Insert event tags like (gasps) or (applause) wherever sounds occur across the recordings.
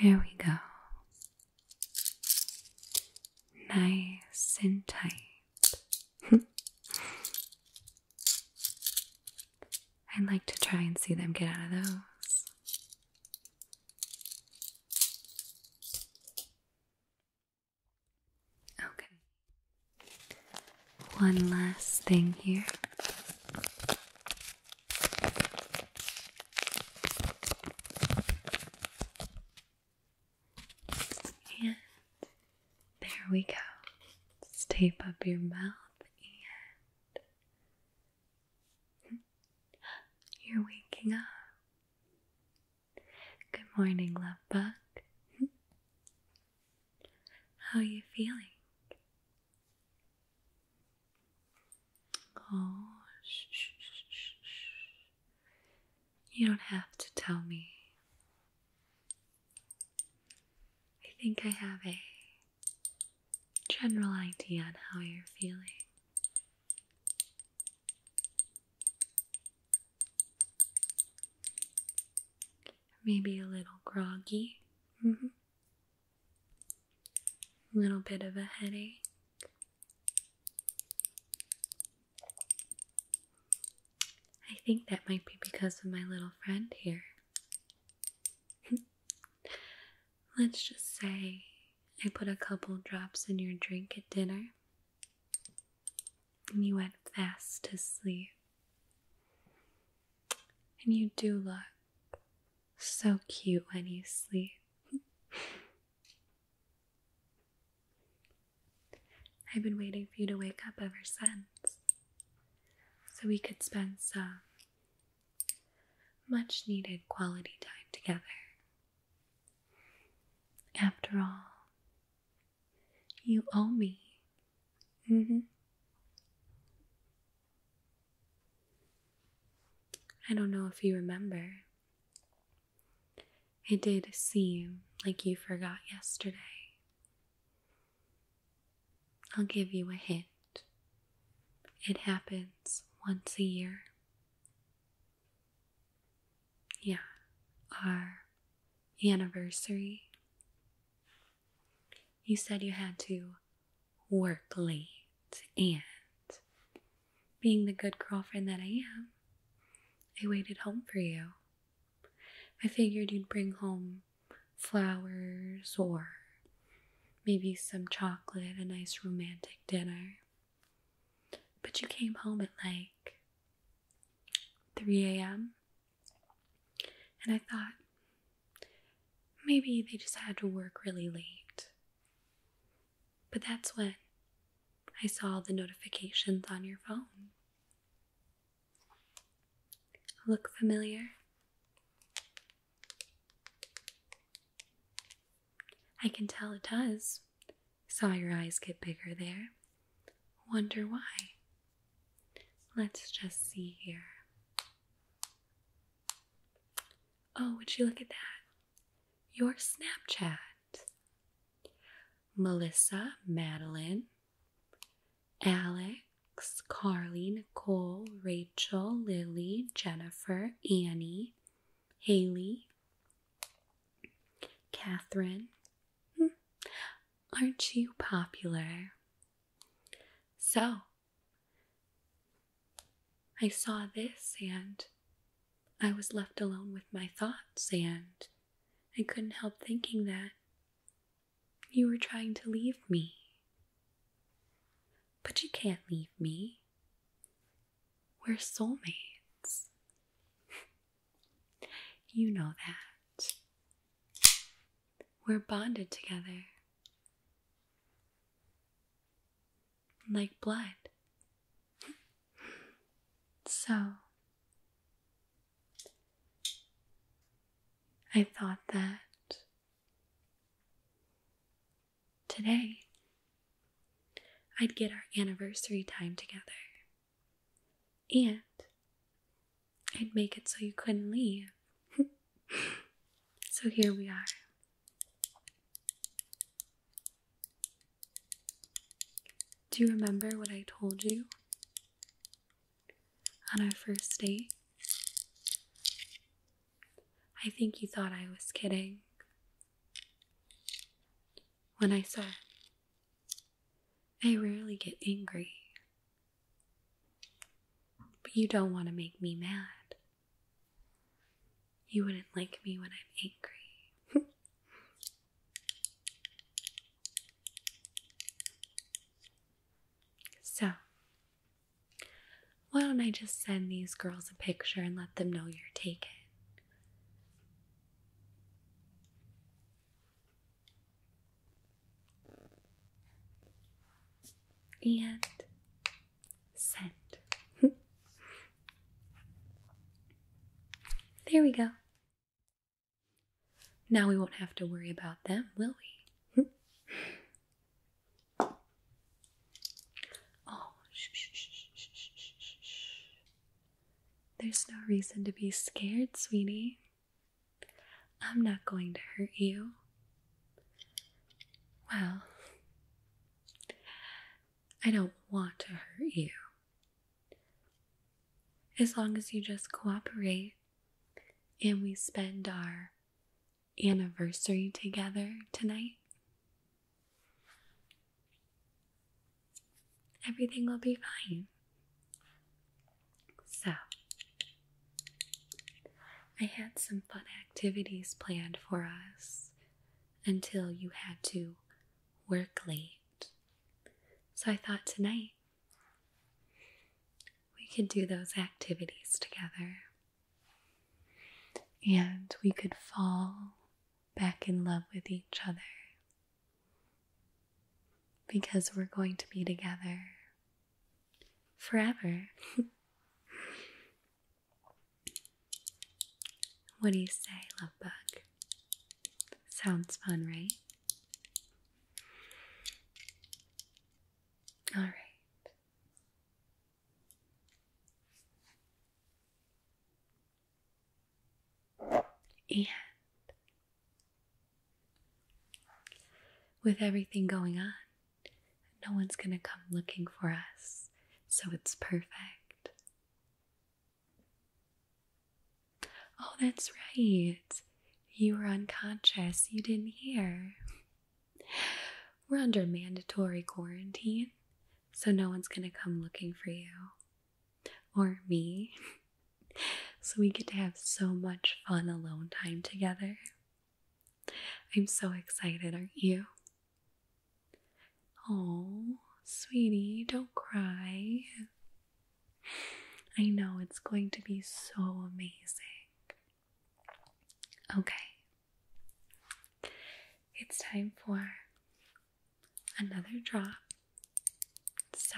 There we go. Nice and tight. (laughs) I'd like to try and see them get out of those. Okay. One last thing here. And there we go. tape up your mouth and you're waking up. Good morning, love bug. How are you feeling? Oh, shh, shh, shh, shh. You don't have to tell me. I think I have a general idea on how you're feeling. Maybe a little groggy, a mm-hmm. little bit of a headache. I think that might be because of my little friend here. (laughs) Let's just say I put a couple drops in your drink at dinner and you went fast to sleep. And you do look so cute when you sleep. (laughs) I've been waiting for you to wake up ever since so we could spend some much needed quality time together. After all, you owe me. Mm-hmm. I don't know if you remember. It did seem like you forgot yesterday. I'll give you a hint. It happens once a year. Yeah, our anniversary. You said you had to work late, and being the good girlfriend that I am, I waited home for you. I figured you'd bring home flowers or maybe some chocolate, a nice romantic dinner. But you came home at like 3 a.m. And I thought maybe they just had to work really late. But that's when I saw the notifications on your phone. Look familiar? I can tell it does. Saw your eyes get bigger there. Wonder why. Let's just see here. Oh, would you look at that? Your Snapchat. Melissa, Madeline, Alex, Carly, Nicole, Rachel, Lily, Jennifer, Annie, Haley, Catherine. Hmm. Aren't you popular? So, I saw this and I was left alone with my thoughts, and I couldn't help thinking that you were trying to leave me. But you can't leave me. We're soulmates. (laughs) you know that. We're bonded together. Like blood. (laughs) so, I thought that today, I'd get our anniversary time together. And I'd make it so you couldn't leave. (laughs) so here we are. Do you remember what I told you on our first date? I think you thought I was kidding when I said I rarely get angry, but you don't want to make me mad. You wouldn't like me when I'm angry. (laughs) so, why don't I just send these girls a picture and let them know you're taken? And send. (laughs) there we go. Now we won't have to worry about them, will we? (laughs) Oh, shh, shh, shh, shh, shh, shh, There's no reason to be scared, sweetie. I'm not going to hurt you. Well, I don't want to hurt you. As long as you just cooperate and we spend our anniversary together tonight. Everything will be fine. So, I had some fun activities planned for us until you had to work late. So, I thought tonight we could do those activities together and we could fall back in love with each other because we're going to be together forever. (laughs) what do you say, love bug? Sounds fun, right? All right. And with everything going on, no one's going to come looking for us, so it's perfect. Oh, that's right. You were unconscious. You didn't hear. We're under mandatory quarantine, so no one's gonna come looking for you or me. (laughs) so we get to have so much fun alone time together. I'm so excited, aren't you? Oh, sweetie, don't cry. (sighs) I know it's going to be so amazing. Okay, it's time for another drop. So,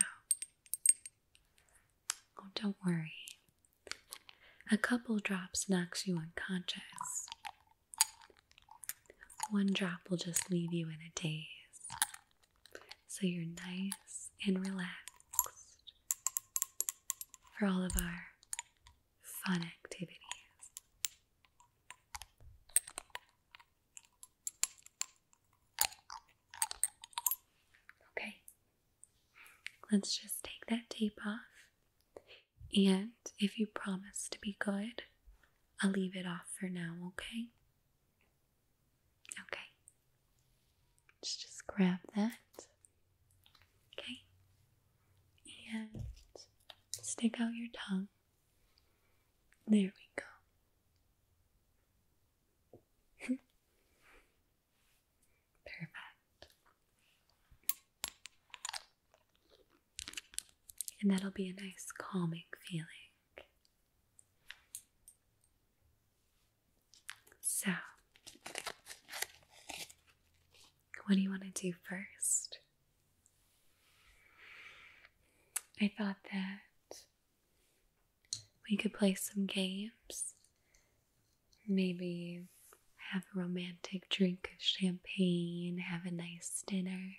oh, don't worry. A couple drops knocks you unconscious. One drop will just leave you in a daze. So you're nice and relaxed for all of our fun activities. Okay, let's just take that tape off. And if you promise to be good, I'll leave it off for now, okay? Okay. Let's just grab that. Okay. And stick out your tongue. There we go. (laughs) Perfect. And that'll be a nice calming feeling. So, what do you want to do first? I thought that we could play some games. Maybe have a romantic drink of champagne, have a nice dinner.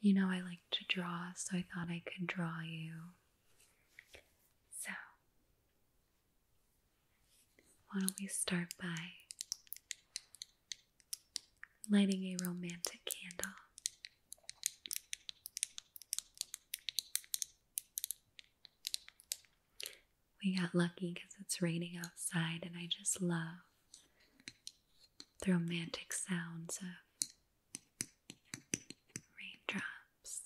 You know, I like to draw, so I thought I could draw you. So, why don't we start by lighting a romantic candle? We got lucky because it's raining outside, and I just love the romantic sounds of raindrops.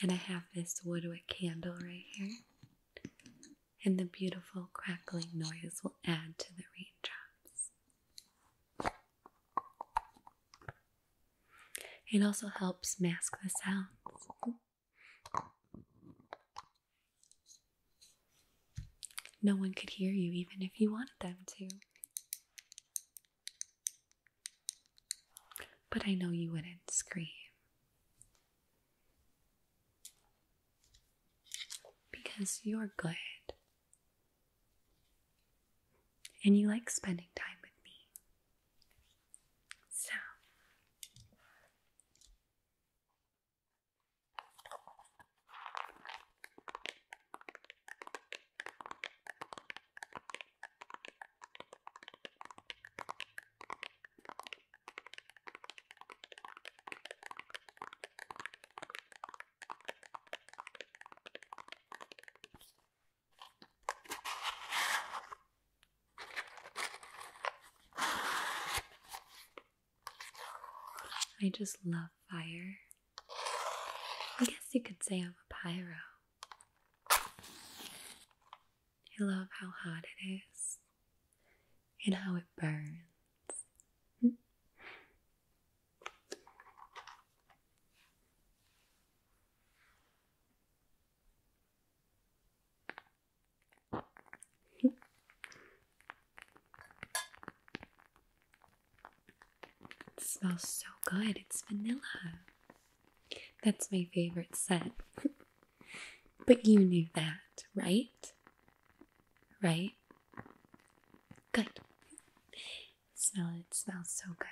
And I have this woodwick candle right here and the beautiful crackling noise will add to the raindrops. It also helps mask the sounds. No one could hear you even if you wanted them to. But I know you wouldn't scream because you're good. And you like spending time with me. So. I just love fire. I guess you could say I'm a pyro. I love how hot it is and how it burns. It smells so good. It's vanilla. That's my favorite scent. (laughs) But you knew that, right? Right? Good. Smell it, it smells so good.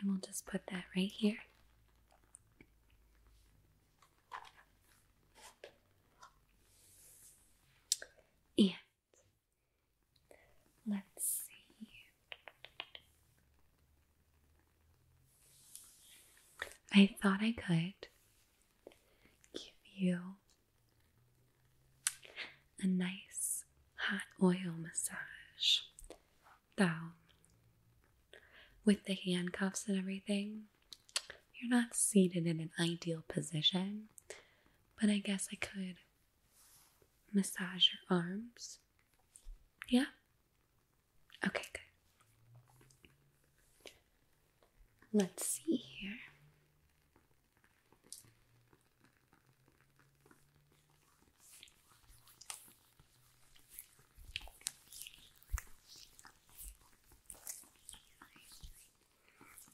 And we'll just put that right here. And let's see. I thought I could give you a nice hot oil massage Though, with the handcuffs and everything, you're not seated in an ideal position, but I guess I could massage your arms. Yeah? Okay, good. Let's see here.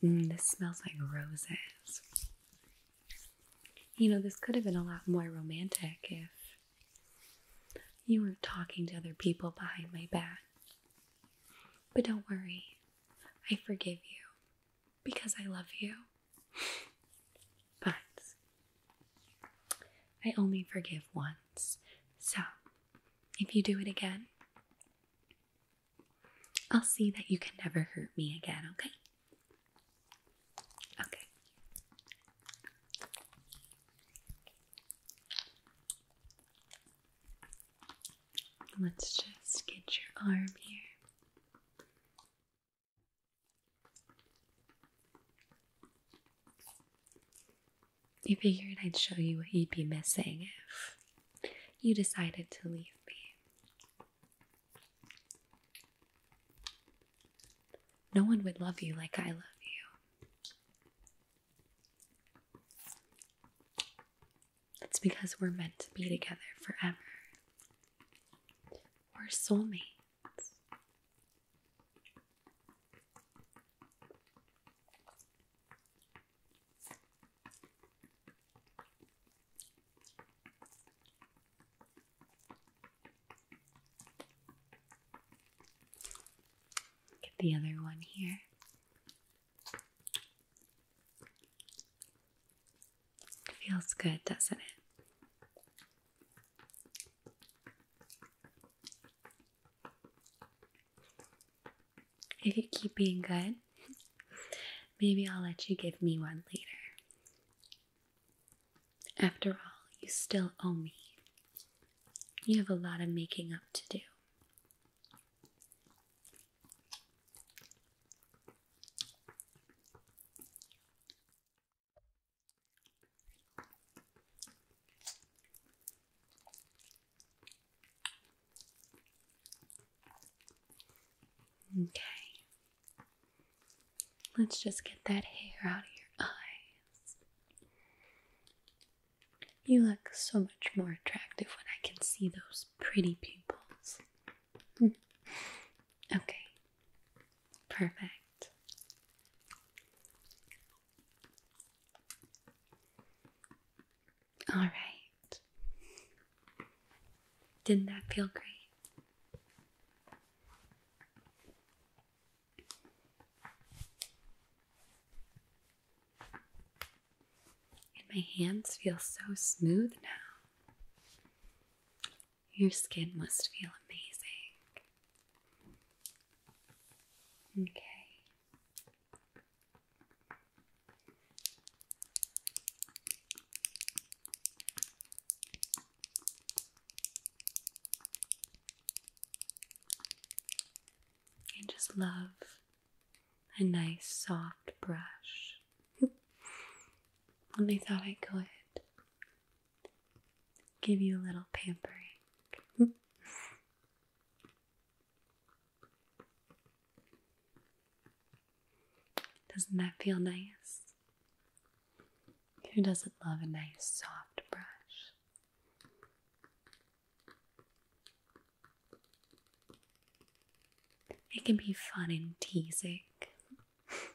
Mm, this smells like roses. You know, this could have been a lot more romantic if you were talking to other people behind my back. But don't worry, I forgive you because I love you. But I only forgive once, so if you do it again, I'll see that you can never hurt me again, okay? Okay. Let's just get your arm here. I figured I'd show you what you'd be missing if you decided to leave me. No one would love you like I love you. It's because we're meant to be together forever. We're soulmates. Get the other one here. Feels good, doesn't it? If you keep being good, maybe I'll let you give me one later. After all, you still owe me. You have a lot of making up to do. Okay. Let's just get that hair out of your eyes. You look so much more attractive when I can see those pretty pupils. (laughs) okay, Perfect. All right. Didn't that feel great? And my hands feel so smooth now. Your skin must feel amazing. Okay. I just love a nice soft brush. When (laughs) I thought I could give you a little pampering. Doesn't that feel nice? Who doesn't love a nice soft brush? It can be fun and teasing. (laughs)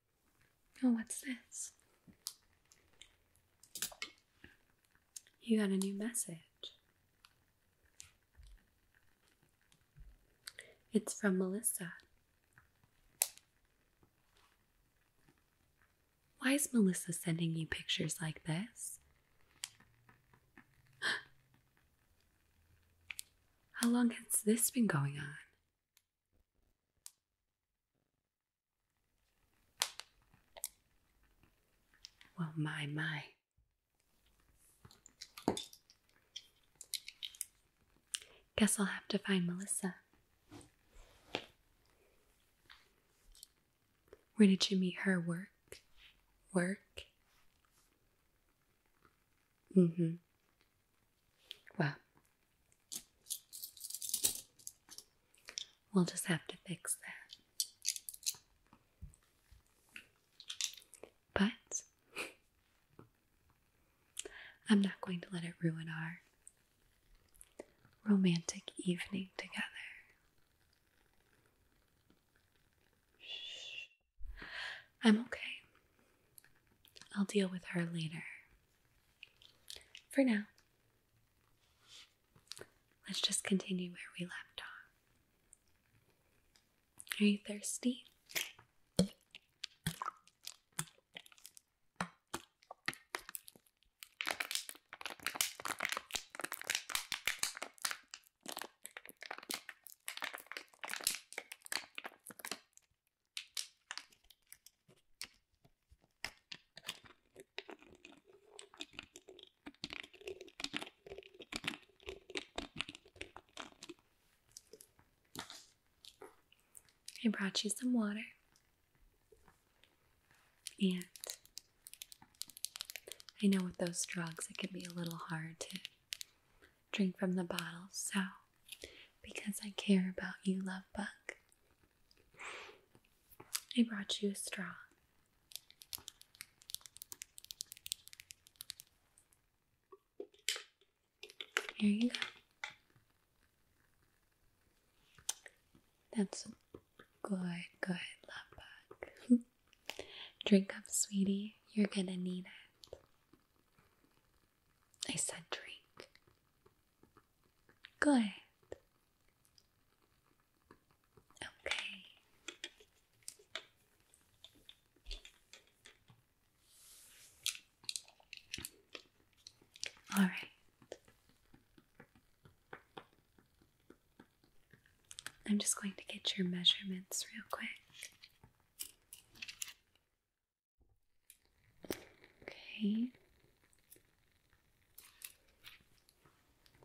Oh, what's this? You got a new message. It's from Melissa. Why is Melissa sending you pictures like this? (gasps) How long has this been going on? Well, my, my. Guess I'll have to find Melissa. Where did you meet her? Work? Work? Mm hmm. Well, We'll just have to fix that. But I'm not going to let it ruin our romantic evening together. I'm okay. I'll deal with her later. For now, Let's just continue where we left off. Are you thirsty? I brought you some water and I know with those drugs it can be a little hard to drink from the bottle so because I care about you love bug I brought you a straw. Here you go. That's a good, good love bug. (laughs) Drink up, sweetie. You're gonna need it. I said drink. Good. Okay. All right. I'm just going to get your measurements real quick. Okay.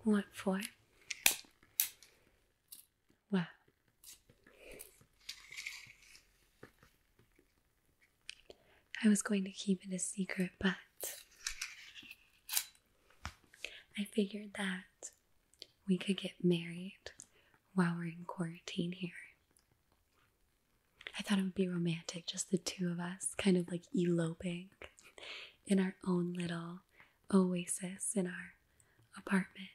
What for? Well, I was going to keep it a secret, but I figured that we could get married while we're in quarantine here. I thought it would be romantic, just the two of us, kind of like eloping in our own little oasis in our apartment.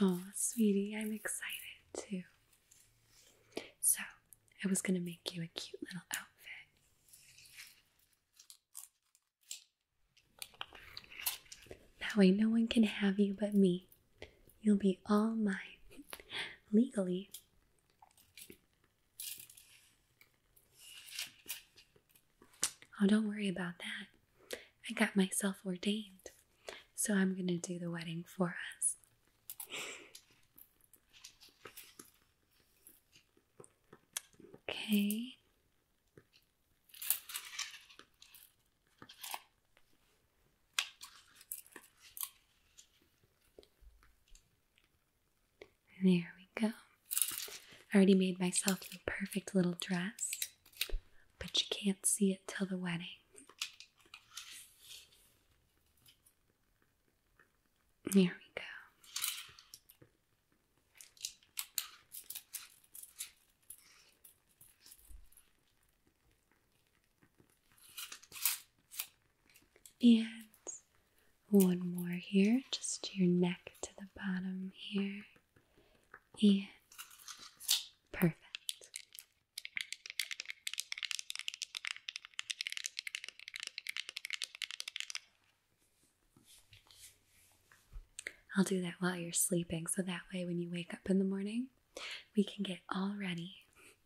Oh, sweetie, I'm excited too. So, I was gonna make you a cute little outfit. That way, no one can have you but me. You'll be all mine legally. Oh, don't worry about that. I got myself ordained, so I'm going to do the wedding for us. Okay. There we go. I already made myself the perfect little dress, but you can't see it till the wedding. There we go. And one more here, just your neck to the bottom here. And perfect. I'll do that while you're sleeping so that way when you wake up in the morning, we can get all ready.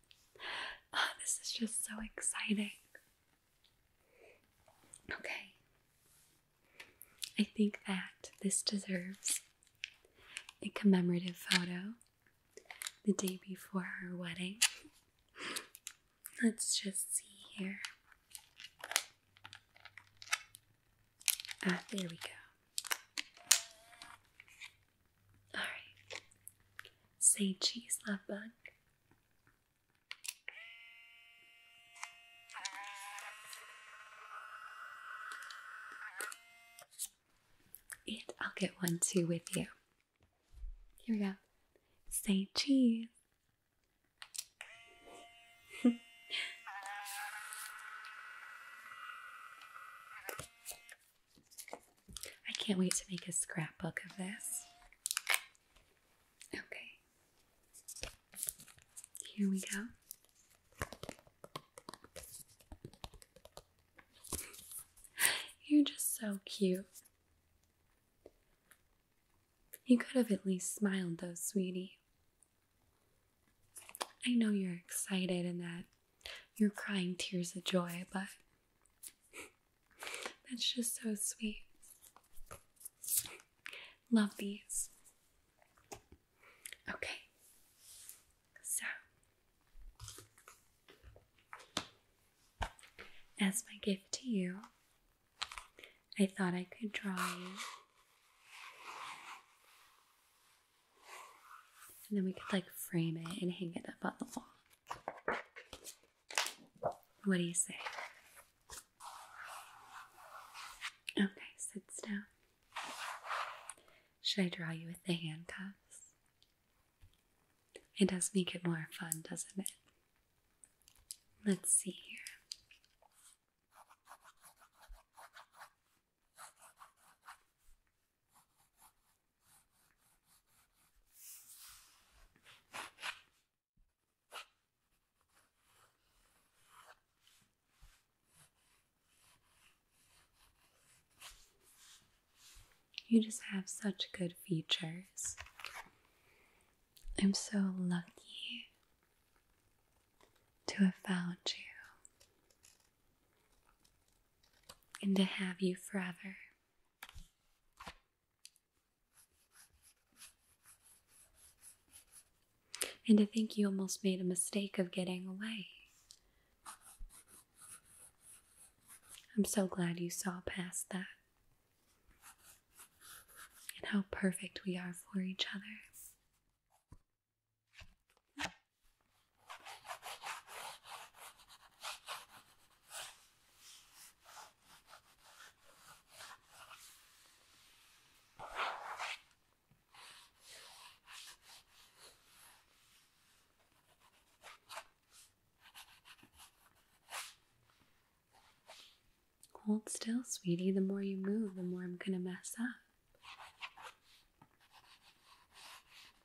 (laughs) Oh, this is just so exciting. Okay. I think that this deserves a commemorative photo the day before her wedding. (laughs) Let's just see here. Ah, there we go. Alright. Say cheese, love bug. And I'll get one too with you. Here we go. Say cheese. (laughs) I can't wait to make a scrapbook of this. Okay. Here we go. (laughs) You're just so cute. You could have at least smiled, though, sweetie. I know you're excited and that you're crying tears of joy, but that's just so sweet. Love these. Okay, so as my gift to you, I thought I could draw you. And then we could like frame it and hang it up on the wall. What do you say? Okay, sits down. Should I draw you with the handcuffs? It does make it more fun, doesn't it? Let's see here. You just have such good features. I'm so lucky to have found you and to have you forever. And I think you almost made a mistake of getting away. I'm so glad you saw past that. And how perfect we are for each other. Hold still, sweetie. The more you move, the more I'm going to mess up.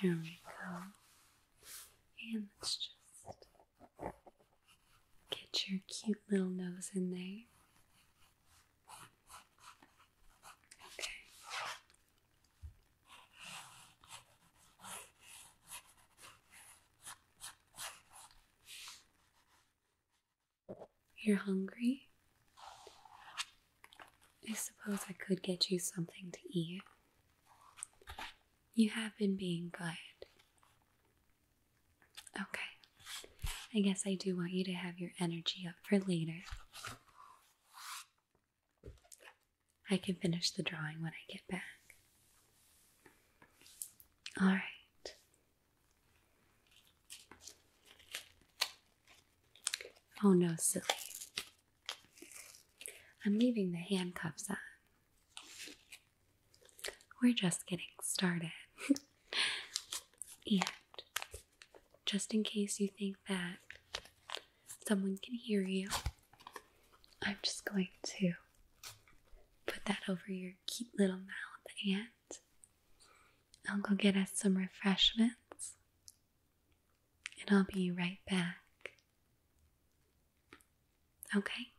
Here we go. And let's just get your cute little nose in there. Okay. You're hungry? I suppose I could get you something to eat. You have been being good. Okay. I guess I do want you to have your energy up for later. I can finish the drawing when I get back. Alright, Oh no, silly. I'm leaving the handcuffs on. We're just getting started. (laughs) and just in case you think that someone can hear you, I'm just going to put that over your cute little mouth and I'll go get us some refreshments and I'll be right back. Okay?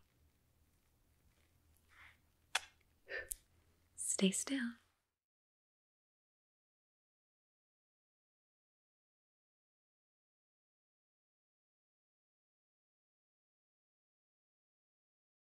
Stay still.